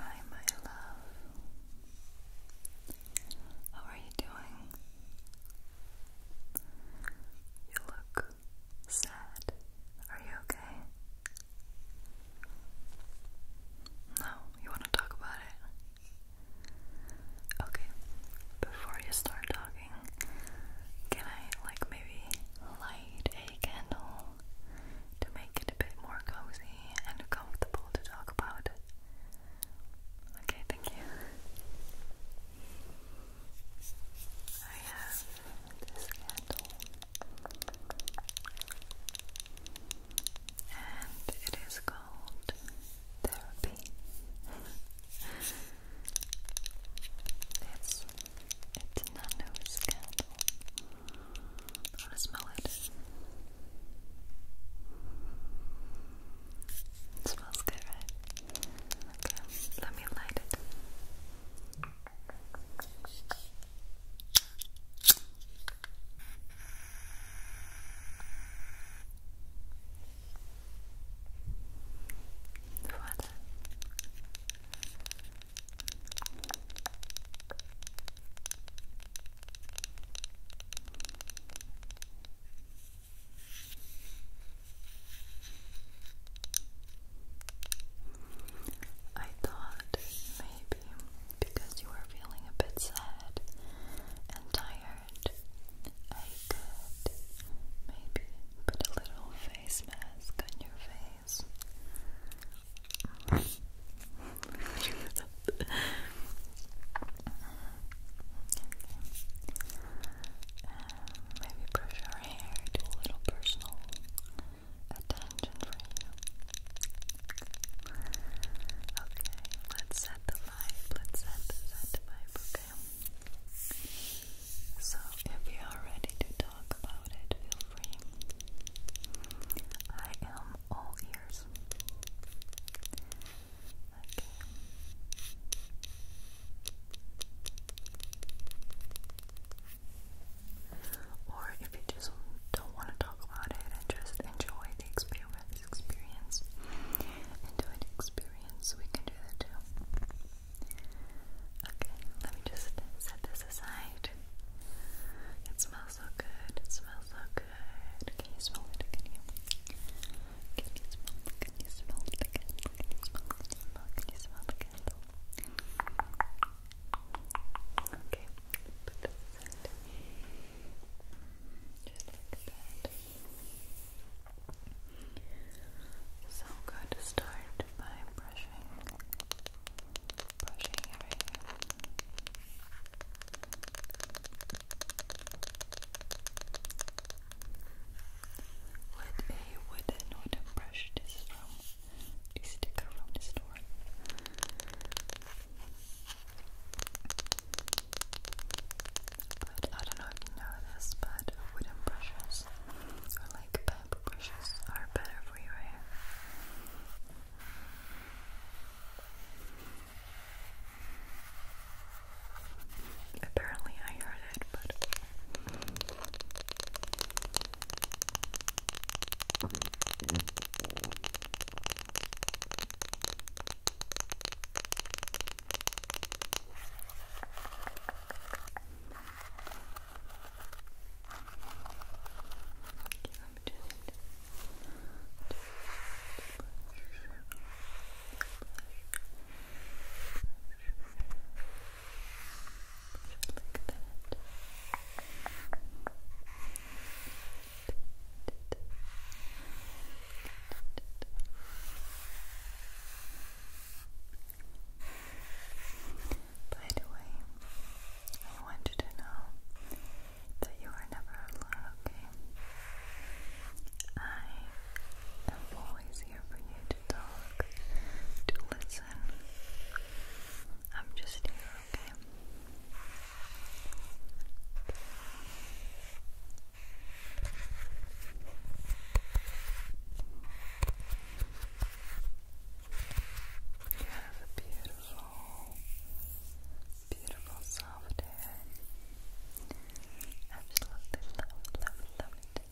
Hi, my love. How are you doing? You look sad. Are you okay? No, you want to talk about it? Okay, before you start talking, can I, like, maybe light a candle to make it a bit more cozy and comfortable to talk about. Okay, thank you. I have this candle, and it is called Therapy. it's it's Nanu's candle. I want to smell it. It smells good, right? Okay, let me light it. Voilà. I thought maybe because you were feeling a bit sad and tired, I could maybe put a little face mask on your face eyes. maybe brush your hair, do a little personal attention for you. Okay, let's set the vibe. Let's set the, set okay? So, if you are ready to talk about it, feel free. I am all ears. Okay. Or if you just don't want to talk about it and just enjoy the experience, experience, enjoy the experience, we can do that too. Okay, let me just set this aside. It smells so good. It smells so good. Can you smell it? Can you? Can you smell Can you smell it again? Can you smell Can you smell it again? Okay. Just like that. So I'm by brushing with a wooden wooden brush, this from a sticker from the store. But I don't know if you know this, but wooden brushes or like bamboo brushes are better for your hair. Apparently, I heard it, but. I'm just, just brush, brush, brush, brush, brush like that. By the way, I want you to know that you are never alone, okay? I am always here for you to talk, to listen. I'm just here, okay? You have beautiful beautiful, beautiful soft hair. Absolutely love it, love love it.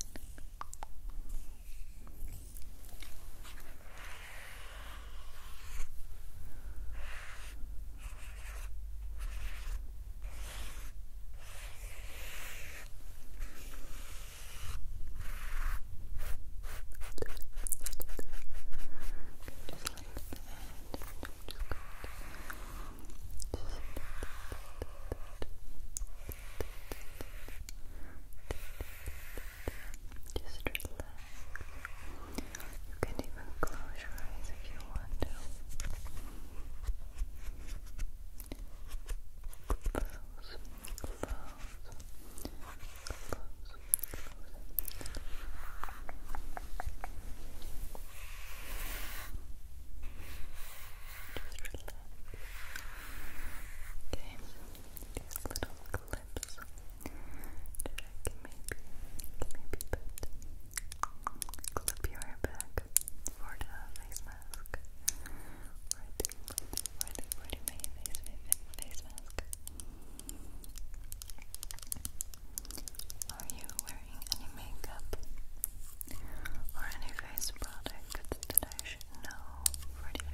Just relax. You can even close your eyes if you want to. Okay, these little clips that I can maybe, maybe put, clip your hair back for the face mask. Right, right, right, right, my face, face, face mask. Okay. Are you wearing any makeup or any face products that I for the mask? No, perfect,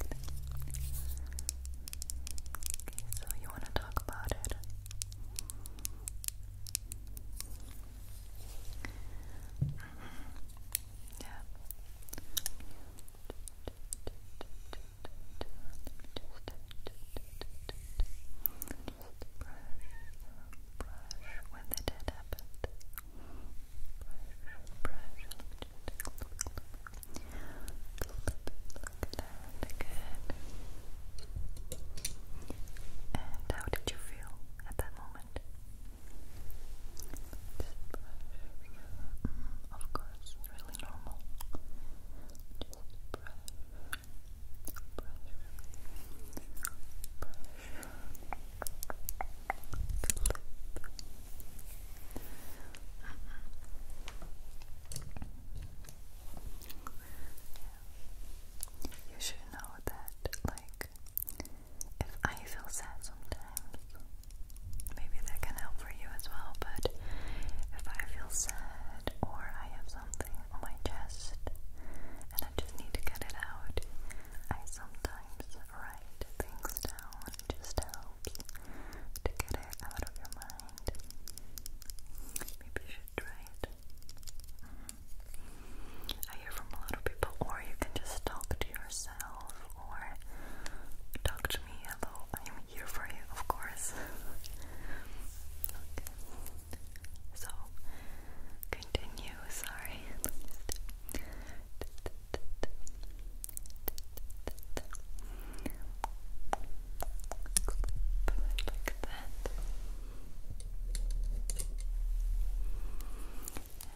Okay, so you want to talk about it? Mm-hmm. Yeah brush when the dead happened. Brush, brush, And how did you feel at that moment? mm, of course, really normal. Just brush, brush, brush. You should know that, like, if I feel sad sometimes, maybe that can help for you as well, but if I feel sad or I have something on my chest and I just need to get it out, I sometimes write things down. It just helps to get it out of your mind. Maybe you should try it. Mm-hmm. I hear from a lot of people, or you can just talk to yourself or talk to me. Hello, I'm here for you, of course. So, continue. Sorry. Like that.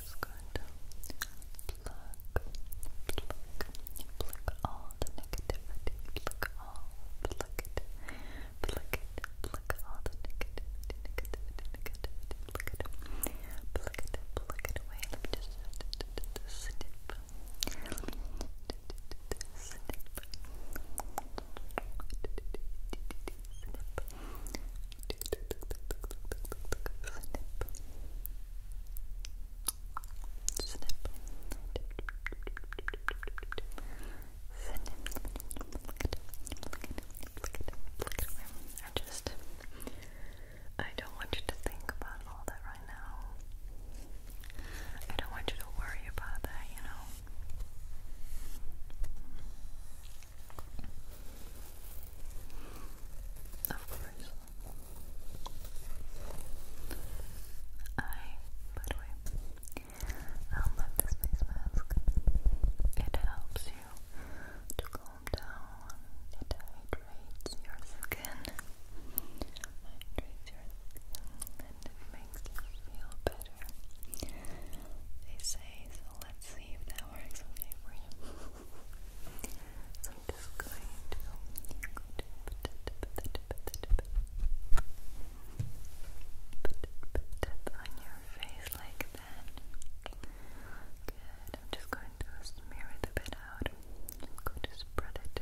just going pluck, pluck, pluck all the negativity, pluck all, pluck it, pluck it, pluck all the negativity, pluck it, pluck it, pluck it away. Let me just I just I don't want you to think about all that right now. I don't want you to worry about that, you know. Of course. I, by the way, I love this face mask. It helps you to calm down. It hydrates your skin. Hydrates your skin and it makes you feel better. They say, so let's see if that works okay for you. So I'm just going to put it, on your face like that. Good. I'm just going to smear it bit out. i to spread it.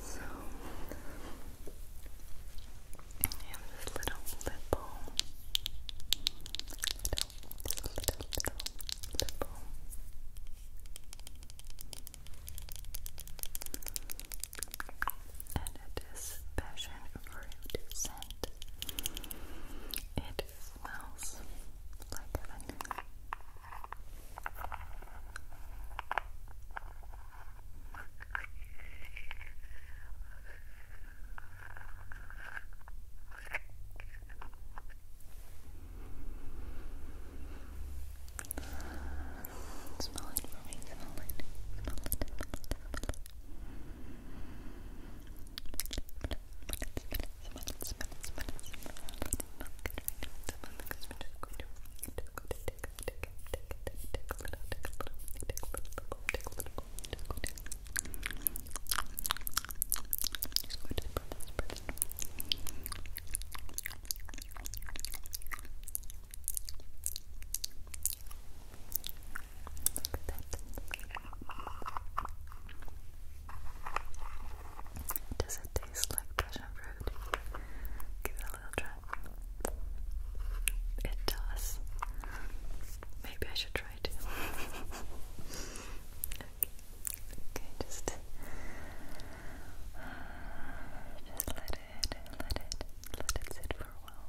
So I have this little lip balm. Little, little, little, little lip balm and it is passion fruit scent. It smells like heaven. Smell it for me, smell it, smell it, smell it, smell it. Just going to spread it, spread it. Does it taste like passion fruit? Give it a little try. It does. Maybe I should try it. okay. just, just let it, let it, let it sit for a while.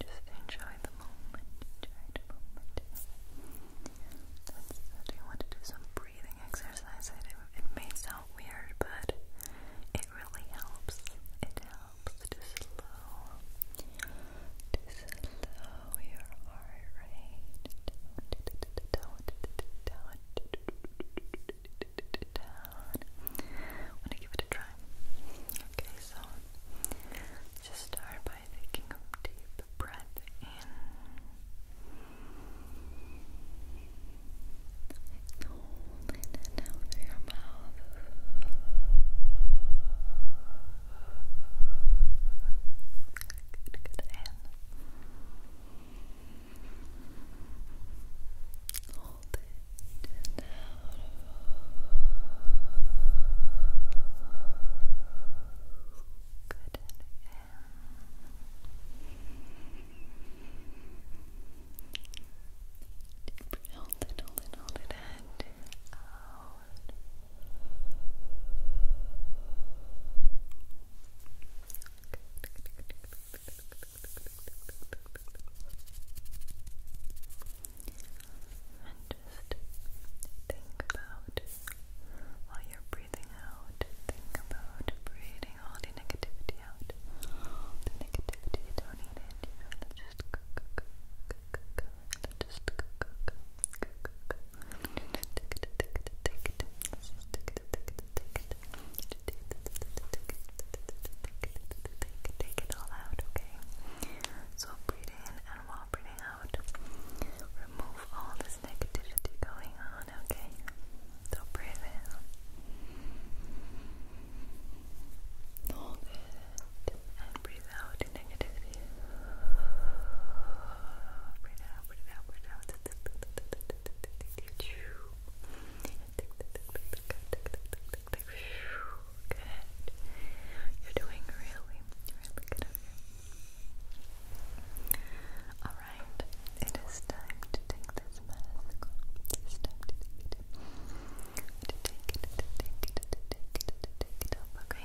just enjoy the moment, enjoy the moment. do you want to do some breathing exercise? It, may sound weird, but it really helps. It helps to slow, to slow your heart rate down. I want to give it a try. Okay, so just start by taking a deep breath in. and out of your mouth. Good, good. And Hold it and out. Good and in. Hold it, hold it, hold it, and out. And just think about while you're breathing out, think about breathing all the negativity out. the negativity, don't need it. You just go, go, go, go, go, let just go, go, go, go, go, go. Just take it, take it, take it. Just take it, take it it, take it all out, okay? So breathe in and while breathing out, remove all this negativity going on, okay? So breathe in. Hold it and breathe out the negativity. Breathe out, breathe out, breathe out. You're doing really, really good Alright, it is time to take this mask okay?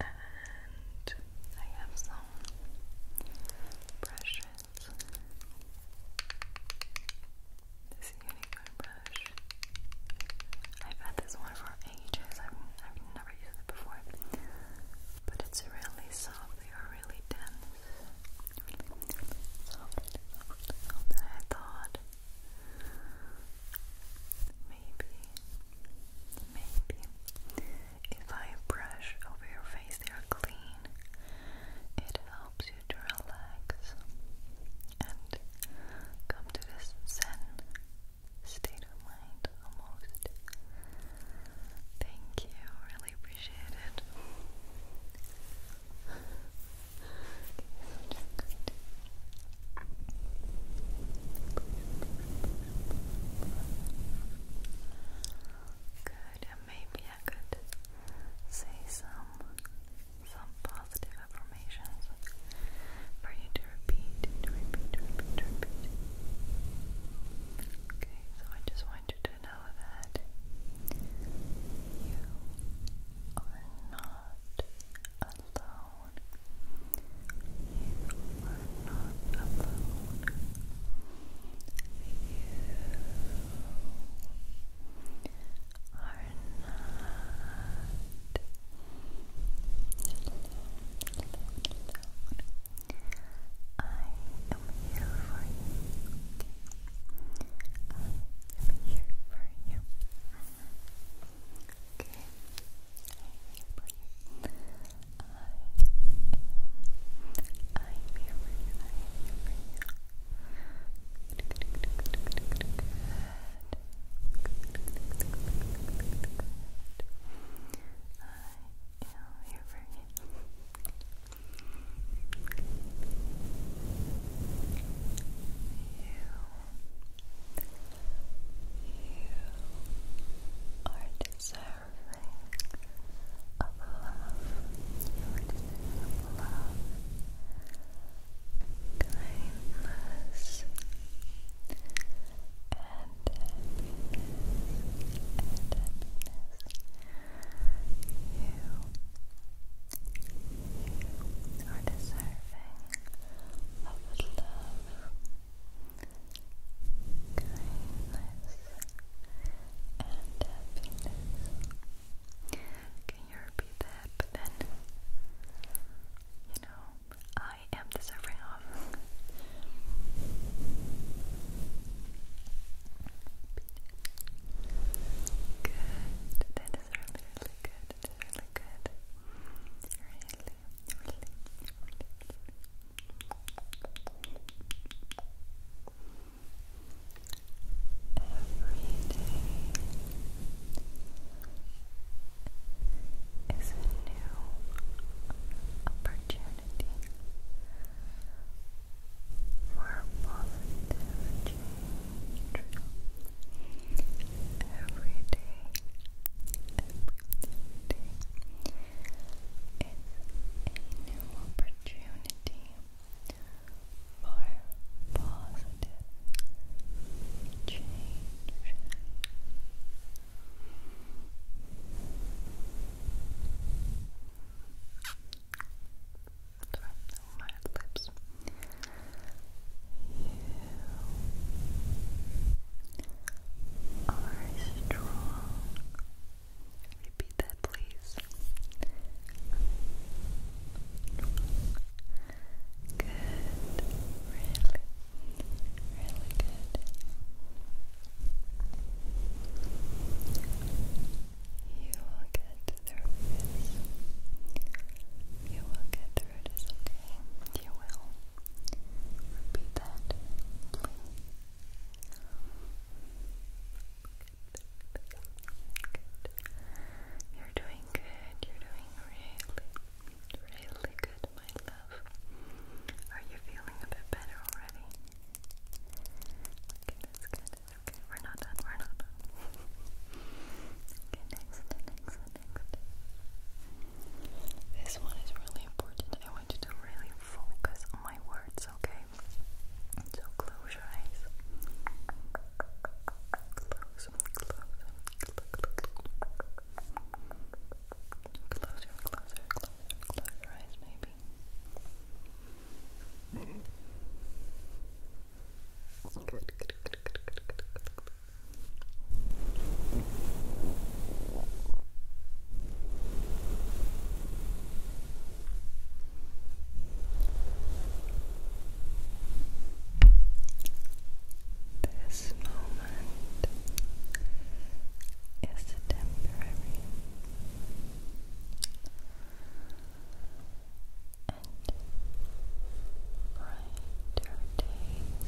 and I have some brushes. This unicorn brush. I've had this one for ages. I've, I've never used it before. But it's really soft. They are really dense. soft, soft, I thought Maybe, maybe if I brush over your face, they are clean. It helps you to relax and come to this zen state of mind almost. Thank you, really appreciate it. Good, and maybe I could say some some positive affirmations for you to repeat, to repeat, to repeat, to repeat. Okay, so I just want you to know that you are not alone alone. You are not alone. You are not alone, I am here for you. I am here for you. Okay. I am here for you. I am here for you. I am here for you. You are deserving of love. You kindness, and happiness. you are deserving of love kindness, and happiness. Can you repeat that? But then, you know, I am deserving of good. That is really, really good really good. Really, really, really. Every day is a new opportunity for positive every day, every day is a new opportunity for positive change. From my lips. You are strong. Repeat that, please. Good. Really, really good. You will get through this. You will get through this, okay? You will. Repeat that, You're doing good. You're doing really, really good, my love. Are you feeling a bit better already? Okay, that's good. That's We're not done. We're not done. okay, next, next, this one is really important. I want you to really focus on my words, okay? So close your eyes. Close, close, close, close your eyes, maybe. good, good, good, good, good, good, this moment is temporary and brighter days,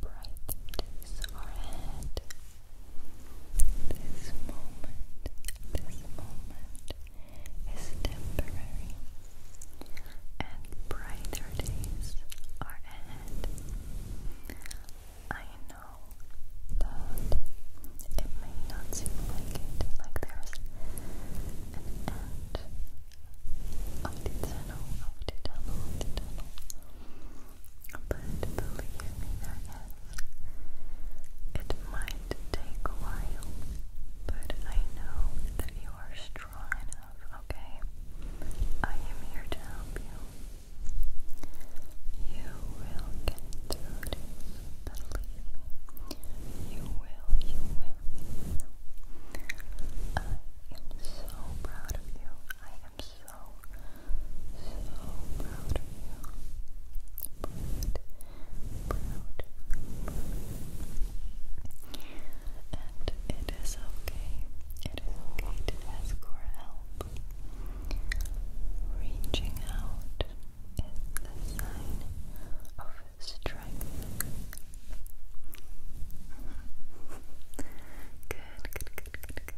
brighter days are ahead. This moment, this moment is temporary, and brighter days are ahead. I know that it may not seem like it, like there's an end of the tunnel, of the tunnel, of the tunnel. But believe me, there is. It might take a while, but I know that you are strong enough, okay? I am here to help you. You will get through this, believe me. You will, you will, I am so proud of you. I'm so, so proud of you. Proud, proud, And it is okay. It is okay to ask for help. Reaching out is a sign of strength. good, good for help.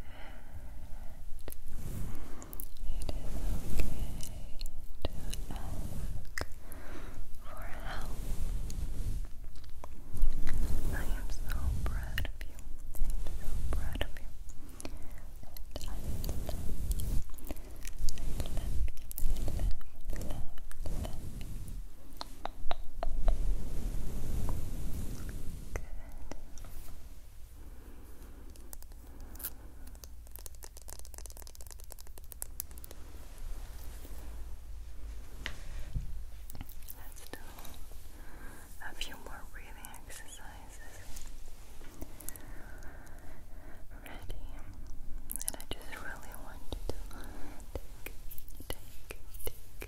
I am so proud of you. so proud of you. Good. Let's do a few more breathing exercises. Ready? And I just really want you to take, take, take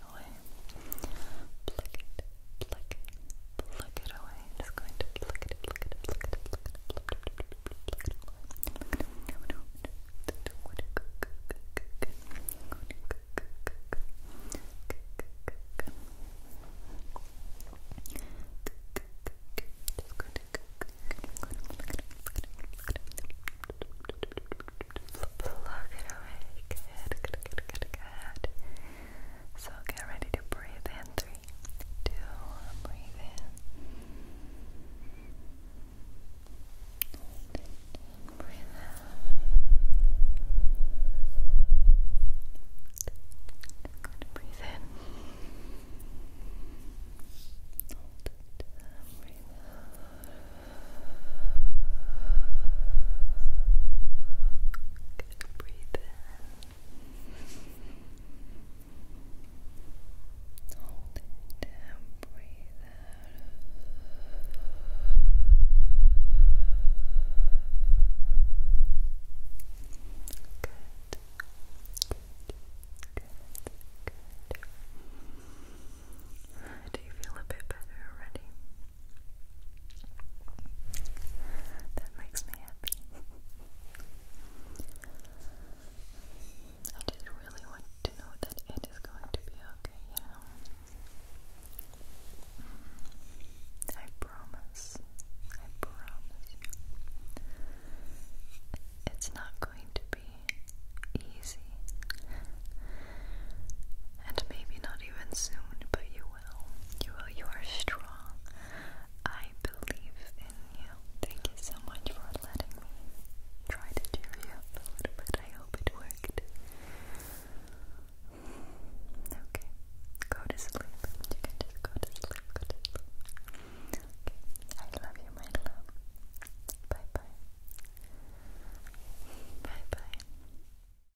it away. it, pluck it, pluck it away. just going to pluck it, pluck it, pluck it, pluck it, pluck it, pluck it, away. Pluck it away. Good, good, good, good, good. So get ready to breathe in. Three, two, breathe in. breathe out. Breathe in. Hold breathe out. Good, breathe in. Hold it breathe out. good. Do you feel a bit better already? That makes me happy. I just really want to know that it is going to be okay, mm, I promise. I promise you. It's not going to be easy. And maybe not even soon, but you you will. You are strong. I believe in you. Thank you so much for letting me try to cheer you a little bit. I hope it worked. Okay. Go to sleep. You can just go to sleep. Go to sleep. Okay. I love you, my love. Bye bye. Bye bye.